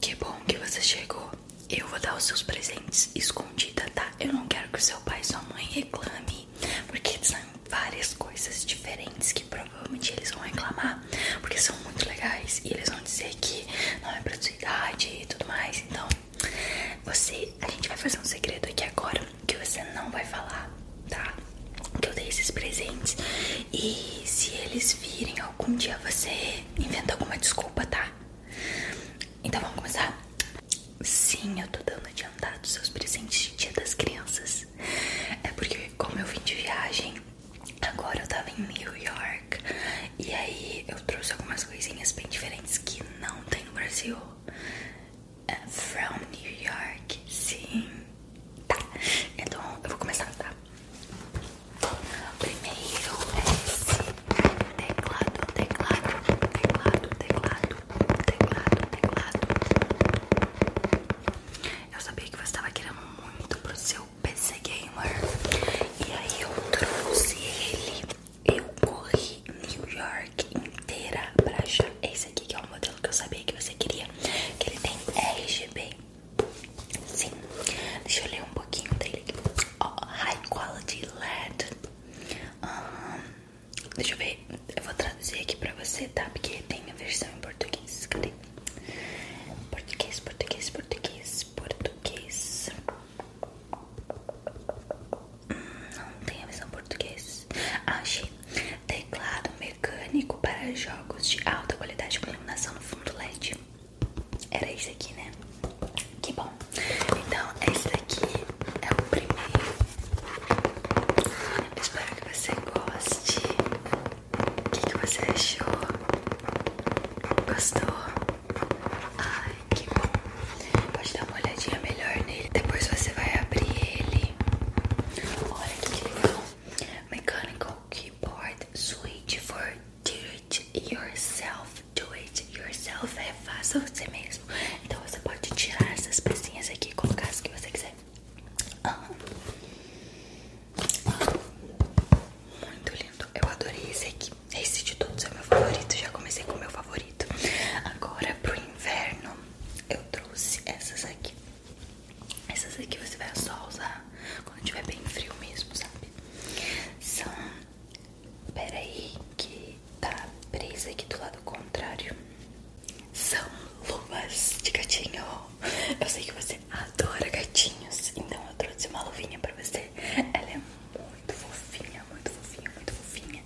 Que bom que você chegou. Eu vou dar os seus presentes escondida, tá? Eu não quero que o seu pai e sua mãe reclame, porque são várias coisas diferentes que provavelmente eles vão reclamar, porque são muito legais e eles vão dizer que não é pra sua idade e tudo mais. Então, você, a gente vai fazer um segredo aqui agora que você não vai falar, tá? Que eu dei esses presentes e se eles virem algum dia você inventa alguma desculpa, tá? Então vamos começar? Sim, eu tô dando adiantado seus presentes de dia das crianças. É porque, como eu vim de viagem, agora eu tava em New York. E aí eu trouxe algumas coisinhas bem diferentes que não tem no Brasil. É from New York, sim. Tá, então eu vou começar, tá? Primeiro esse teclado, teclado, teclado, teclado, teclado, teclado. Eu sabia que você estava querendo muito pro seu PC Gamer. E aí eu trouxe ele. Eu corri New York inteira pra achar esse aqui que é o modelo que eu sabia que você queria. ele tem RGB. Sim, deixa eu ler um pouquinho dele aqui. Ó, High Quality LED. deixa eu ver, eu vou traduzir aqui pra você, tá? Porque tem a versão em português. Cadê? Português, português, português, português. Hum, não tem a versão português. Achei. Teclado mecânico para jogos de alta qualidade iluminação no fundo LED. Era esse aqui, né? Que bom. Então, esse daqui é o primeiro. espero que você goste. O que, que você achou? Gostou? Ai, que bom. Pode dar uma olhadinha melhor nele. Depois você vai abrir ele. Olha que legal. Mechanical Key import switch for do it yourself, do it yourself, é faça você mesmo. Então você pode tirar essas pecinhas aqui e colocar as que você quiser. Ah. Muito lindo. Eu adorei esse aqui. Esse de todos é meu favorito. Já comecei com o meu favorito. Agora pro inverno eu trouxe essas aqui. Essas aqui você vai só usar quando tiver bem frio mesmo, sabe? São. pera aí que tá presa aqui do lado contrário. São luvas de gatinho. Eu sei que você adora gatinhos, então eu trouxe uma luvinha pra você. Ela é muito fofinha, muito fofinha, muito fofinha.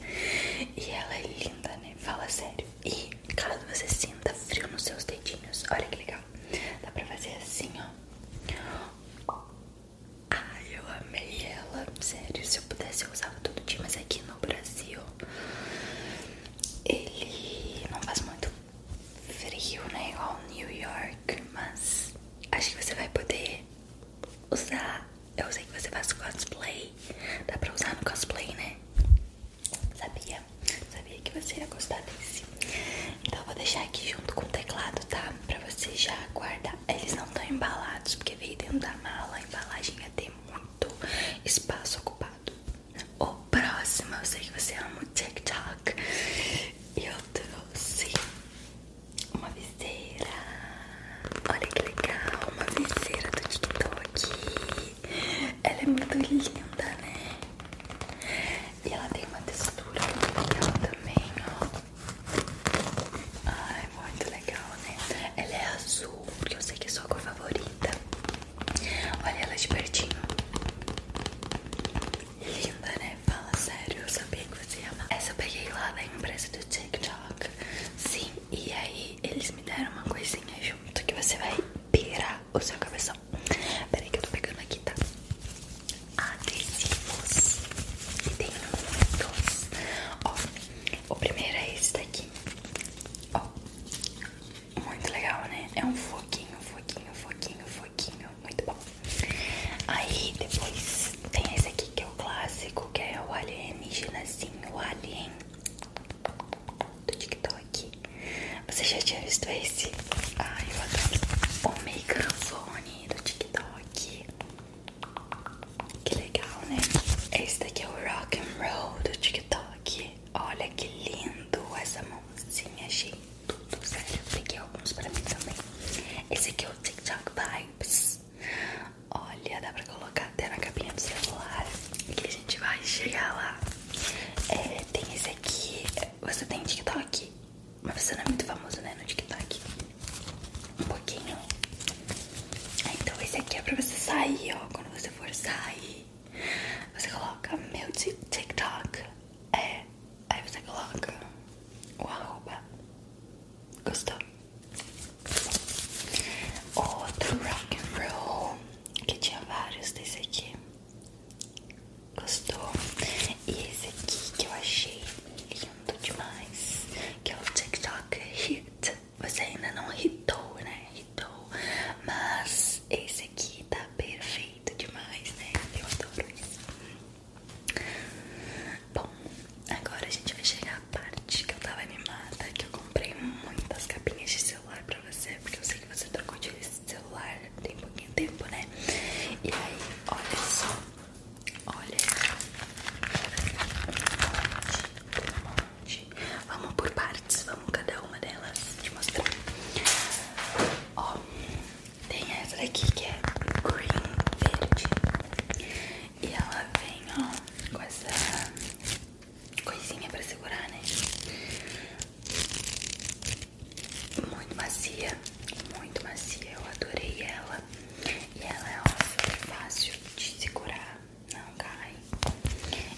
E ela é linda, né? Fala sério. E caso você sinta frio nos seus dedinhos, olha que legal. Dá pra fazer assim, ó. Ai, eu amei ela. Sério, se eu pudesse usar usava todo dia, mas aqui no Brasil ele não faz muito frio, né? Igual New York, mas acho que você vai poder usar. Eu usei que você faz cosplay. Dá pra usar no cosplay, né? Sabia? Sabia que você ia gostar desse. Então eu vou deixar aqui junto com o teclado, tá? Pra você já guardar. Eles não estão embalados, porque veio dentro da mala. A embalagem ia ter muito espaço ocupado. O próximo, eu sei que você ama o TikTok. Eu trouxe uma viseira. Olha que legal, uma viseira do TikTok. Ela é muito linda, né? E ela tem uma textura muito legal também, ó. Ai, muito legal, né? Ela é azul, porque eu sei que é sua cor favorita. Olha ela de pertinho. Linda, né? Fala sério, eu sabia que você ia Essa peguei lá da empresa do TikTok. Sim, e aí eles me deram uma coisinha junto que você vai pirar o seu cabeção. Peraí que eu tô pegando aqui, tá? Adesivos. E tem muitos. Ó, o primeiro é esse daqui. Ó, muito legal, né? É um foquinho, foquinho, foquinho, foquinho. Muito bom. Aí depois tem esse aqui que é o clássico, que é o alienígenazinho, assim, o alien do TikTok. Você já tinha visto esse? Ai, eu adoro. O microfone do TikTok. Que legal, né? Esse daqui é o rock and roll do TikTok. Olha que lindo essa mãozinha, achei tudo sério. Peguei alguns para mim também. Esse aqui é o TikTok Vibes. Olha, dá pra colocar até na capinha do celular que a gente vai chegar lá. É, tem esse aqui. Você tem TikTok? Mas você não é muito famoso, né? No TikTok. Um pouquinho. Ah, então esse aqui é pra você sair, ó. Quando você for sair, você coloca meu TikTok. É. Aí você coloca o arroba. Gostou? Outro rock and roll que tinha vários desse aqui. Gostou? E esse aqui que eu achei lindo demais, que é o TikTok Hit. Você ainda não hitou, né? Hitou. Mas esse aqui tá perfeito demais, né? Eu adoro isso. Bom, Agora a gente vai chegar à parte que eu tava animada, que eu comprei muitas capinhas de celular pra você, porque eu sei que você trocou de celular tem pouquinho tempo, né? E aí, olha só, olha um monte, um monte. Vamos por partes, vamos cada uma delas te mostrar. Ó, tem essa daqui que é green verde. E ela vem, ó, com essa coisinha pra segurar, né? Muito macia, muito macia. Eu adorei ela. E ela é, ó, super fácil de segurar, não cai.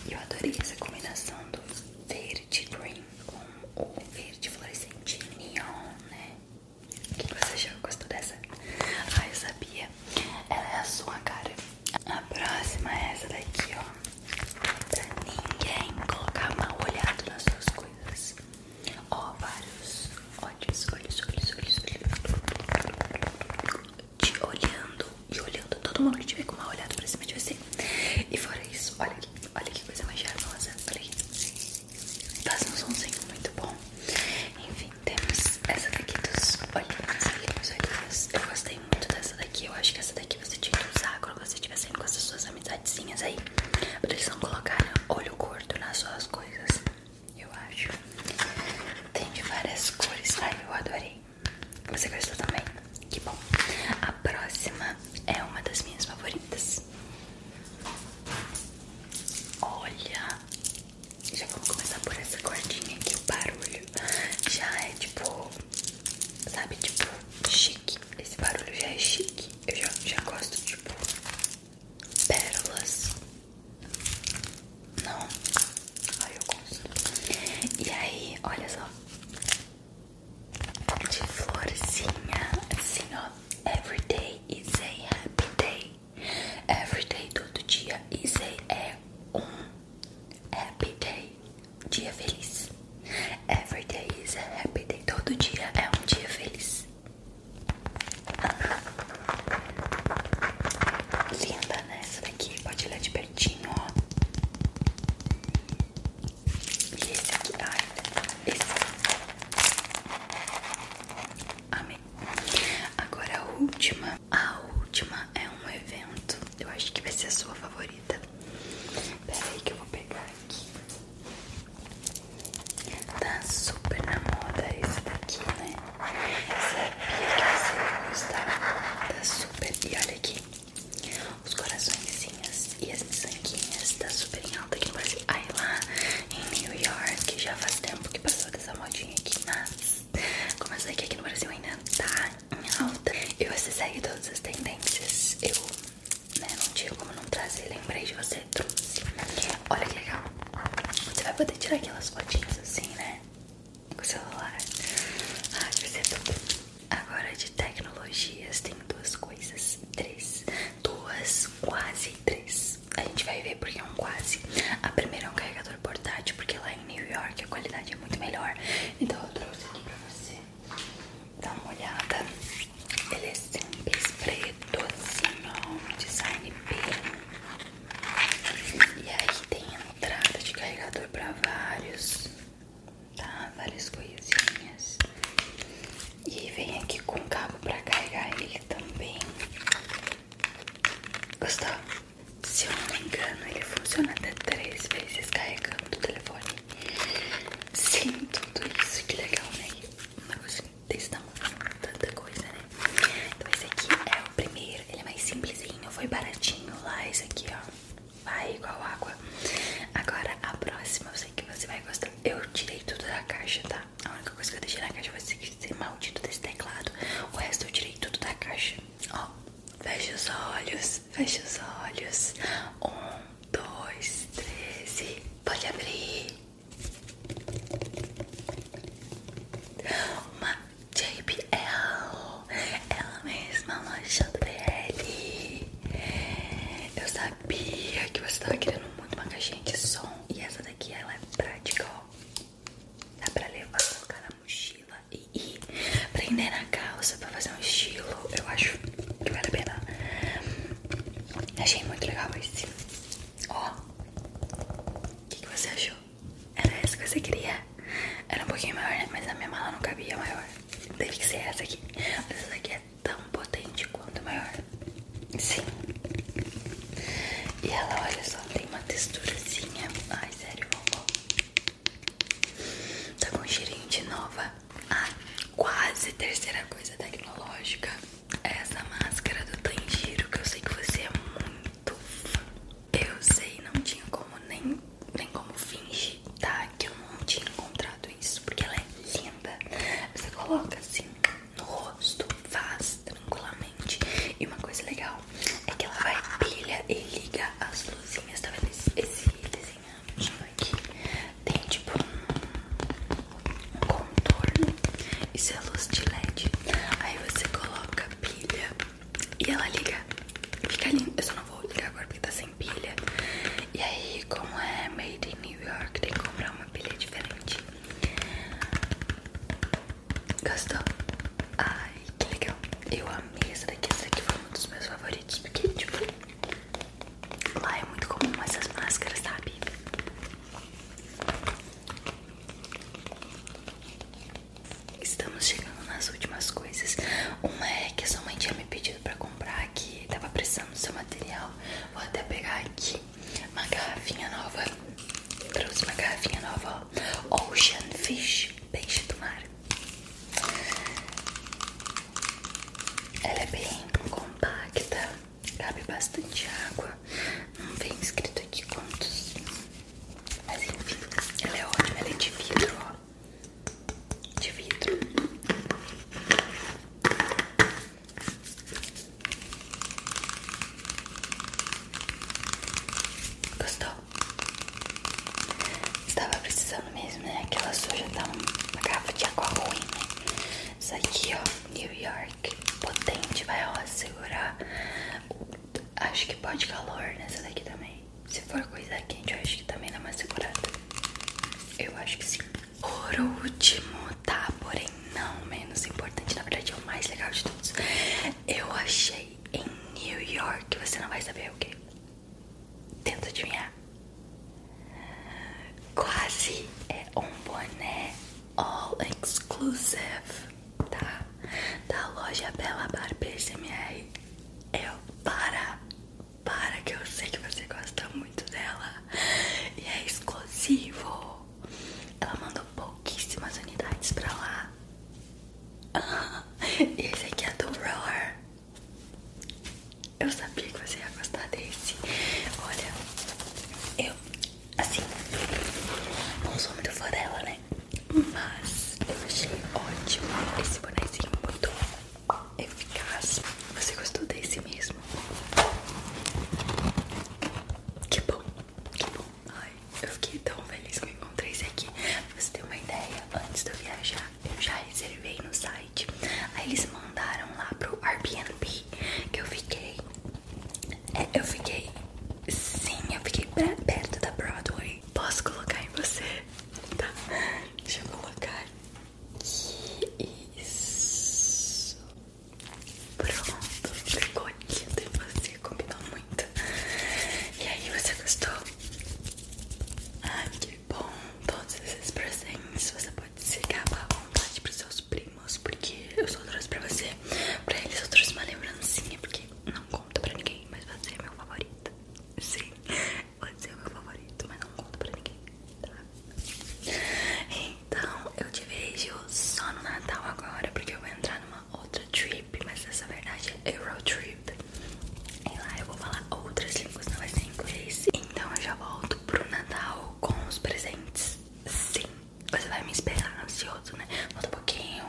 E eu adorei essa combinação do verde green com o verde fluorescente neon, né? O que você achou? Gostou dessa? ai eu sabia. Ela é a sua cara. A próxima é essa daqui, ó. Pra ninguém colocar mal olhado nas suas coisas. Ó, vários olhos, olhos, olhos, olhos, olhos. Te olhando e olhando. Todo mundo te vê com mal olhado pra cima de você. E fora isso, olha aqui. Olha que coisa mais charmosa. Olha aqui. Faz um somzinho muito bom. Enfim temos essa daqui dos olhinhos, olhinhos, olhinhos. Eu gostei muito dessa daqui. Eu acho que essa daqui você tinha que usar quando você estiver saindo com essas suas amizadezinhas aí. Pra eles não colocarem olho curto nas suas coisas. Eu acho. Tem de várias cores. Ai, eu adorei. Você gostou também? Que bom. A próxima é uma das minhas favoritas. Olha, já vou começar por essa cordinha aqui. O barulho já é tipo, sabe, tipo, chique. Esse barulho já é chique. Eu já, já gosto, tipo, pérolas. Não, ai, eu gosto. E aí, olha só. De florzinha, assim ó. Every day is a happy day. Everyday, todo dia. Easy é um happy day, dia feliz. Everyday is a happy day. Todo dia é um dia feliz. Linda, né? Essa daqui pode ler de pertinho, ó. E esse aqui, ai, esse. A Agora a última. A última é um evento. Eu acho que vai ser a sua favorita. Pera aí que eu vou pegar aqui. Tá super na moda esse daqui, né? Eu sabia que você ia gostar. Tá super. E olha aqui. Os coraçõezinhos e as sanguinhas Tá super em alta aqui no Brasil. Unidos. Aí lá em New York já faz tempo que passou dessa modinha aqui, mas como eu sei que aqui no Brasil ainda tá em alta, e você segue todas as tendências, eu né, não tinha como não trazer, lembrei de você, trouxe. Olha que legal. Você vai poder tirar aquelas fotinhas assim, né? Com o celular. Ah, que você é tudo. Agora de tecnologias tem duas coisas. Três. Duas, quase três a gente vai ver porque é um quase. A primeira é um carregador portátil, porque lá em New York a qualidade é muito melhor. Então eu trouxe aqui pra você dar uma olhada. Ele é sempre preto, assim, design bem. E aí tem entrada de carregador pra vários, tá? Várias coisinhas. E vem aqui com o cabo pra carregar ele também. Gostou? Se eu não me engano, ele funciona até três vezes carregando o telefone. Sim, tudo isso. Que legal, né? Uma coisa desse tamanho, tanta coisa, né? Então esse aqui é o primeiro. Ele é mais simplesinho, foi baratinho lá. Esse aqui, ó. Vai igual água. Agora a próxima, eu sei que você vai gostar. Eu tirei tudo da caixa, tá? A única coisa que eu deixei na caixa foi esse maldito desse teclado. O resto eu tirei tudo da caixa. Ó, fecha os olhos, fecha os olhos. Um, dois, três pode abrir. Uma JBL, ela mesma, uma JBL. Eu sabia que você tava querendo muito uma caixinha som. E essa daqui ela é prática, ó. Dá pra levar, colocar na mochila e ir prender na calça pra fazer um estilo. Eu acho que vale a pena. Achei muito legal esse. Ó. O que, que você achou? Era essa que você queria? Era um pouquinho maior, né? Mas a minha mala não cabia maior. Teve que ser essa aqui. Mas essa daqui é tão potente quanto maior. Sim. E ela, olha só, tem uma texturazinha. Ai, sério, vovó. Tá com um de nova. Ah, quase terceira coisa tecnológica. É essa máscara do Tanjiro, que eu sei que você é muito fã. Eu sei, não tinha como nem, nem como fingir, tá? Que eu não tinha encontrado isso, porque ela é linda. Você coloca assim no rosto, faz tranquilamente. E uma coisa legal é que ela vai, pilha e liga as luzinhas. Tá vendo esse, desenho aqui? Tem tipo um, um contorno. Isso é luz de LED. Aí você coloca pilha e ela liga. Fica lindo Eu só não vou ligar agora porque tá assim e aí, como é made in New York, tem que comprar uma pilha diferente. Gostou? Ai, que legal. Eu amei essa daqui. Essa aqui foi um dos meus favoritos. Porque, tipo, lá é muito comum essas máscaras, sabe? Estamos chegando nas últimas coisas. Uma é que a sua mãe tinha me pedido motivo pra comprar aqui. Tava precisando do seu material. Vou até pegar aqui uma garrafinha nova. Trouxe uma garrafinha nova, ó. Ocean Fish, peixe do mar. Ela é bem compacta, cabe bastante água. Não vem escrito aqui quantos. Mas enfim, ela é ótima, ela é de vidro, ó de vidro. Gostou? Estava precisando mesmo, né? Aquela suja tá uma garrafa de água ruim, né? Isso aqui, ó, New York, potente, vai, ó, segurar. Acho que pode calor nessa daqui também. Se for coisa quente, eu acho que também não é mais segurada. Eu acho que sim. Por último, tá? Porém, não menos importante, na verdade é o mais legal de todos. Eu achei em New York, você não vai saber o que. Tenta adivinhar. Quase é um boné all exclusive, tá? Da loja Bela Barber CMR. É eu para para que eu sei que você gosta muito dela e é exclusivo. Ela tá mandou pouquíssimas unidades pra lá. Ah, esse aqui é do Roar. Eu sabia que você ia gostar desse. Olha, eu, assim, não sou muito fã dela, né? Mas eu achei ótimo esse bonezinho muito eficaz. Você gostou desse mesmo? Que bom, que bom. Ai, eu fiquei tão feliz que eu encontrei esse aqui. Pra você ter uma ideia, antes de eu viajar, eu já reservei no site. Aí eles mandaram lá pro Airbnb que eu fiquei. É, eu fiquei. Sim, eu fiquei perto da Broadway. Posso colocar em você? Tá. Deixa eu colocar aqui. Isso. Pronto. Ficou lindo em você. Combinou muito. E aí, você gostou? Ah, que bom. Todos esses presentes você pode secar à vontade pros seus primos. Porque eu só trouxe pra você. Pra eles eu trouxe uma lembrancinha. Porque não conta pra ninguém. Mas você é meu favorito. Sim, pode ser o meu favorito, mas não conto pra ninguém, tá? Então eu te vejo só no Natal agora, porque eu vou entrar numa outra trip, mas essa verdade é Eurotrip. E lá eu vou falar outras línguas, não vai ser inglês. Então eu já volto pro Natal com os presentes. Sim, você vai me esperar ansioso, né? Falta um pouquinho.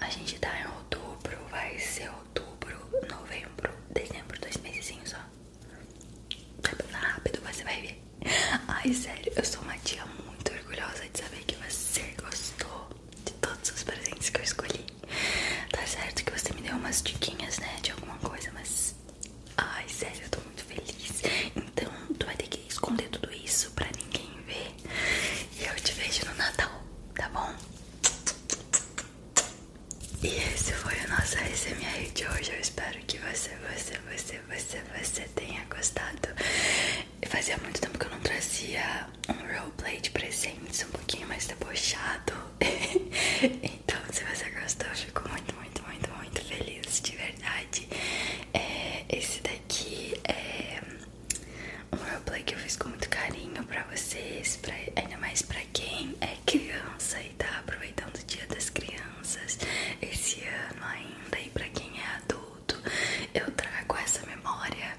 A gente tá em outubro, vai ser outubro, novembro, dezembro, dois meses só. Vai passar rápido, você vai ver. Ai, sério, eu sou uma tia muito orgulhosa de saber que você gostou de todos os presentes que eu escolhi. Tá certo que você me deu umas diquinhas, né, de alguma coisa, mas... Ai, sério, eu tô muito feliz. Então, tu vai ter que esconder tudo isso pra ninguém ver. E eu te vejo no Natal, tá bom? E esse foi o nosso ASMR de hoje. Eu espero que você, você, você, você, você tenha gostado. Fazia muito tempo que eu não trazia um roleplay de presentes, um pouquinho mais debochado. então, se você gostou, eu fico muito, muito, muito, muito feliz, de verdade. É, esse daqui é um replay que eu fiz com muito carinho pra vocês, pra, ainda mais pra quem é criança e tá aproveitando o dia das crianças esse ano ainda, e pra quem é adulto, eu trago essa memória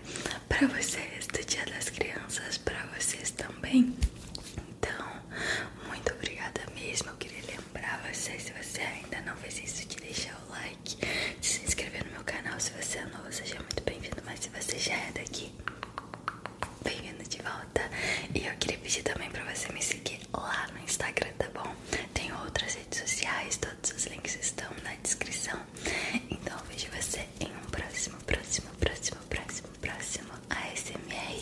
pra vocês do dia das crianças, pra vocês também. Então, muito obrigada mesmo, eu queria lembrar vocês, se você ainda não fez isso, de deixar o like, de se inscrever no meu canal. Se você é novo, seja muito bem-vindo. Mas se você já é daqui, bem-vindo de volta. E eu queria pedir também pra você me seguir lá no Instagram, tá bom? Tem outras redes sociais, todos os links estão na descrição. Então eu vejo você em um próximo, próximo, próximo, próximo, próximo ASMR.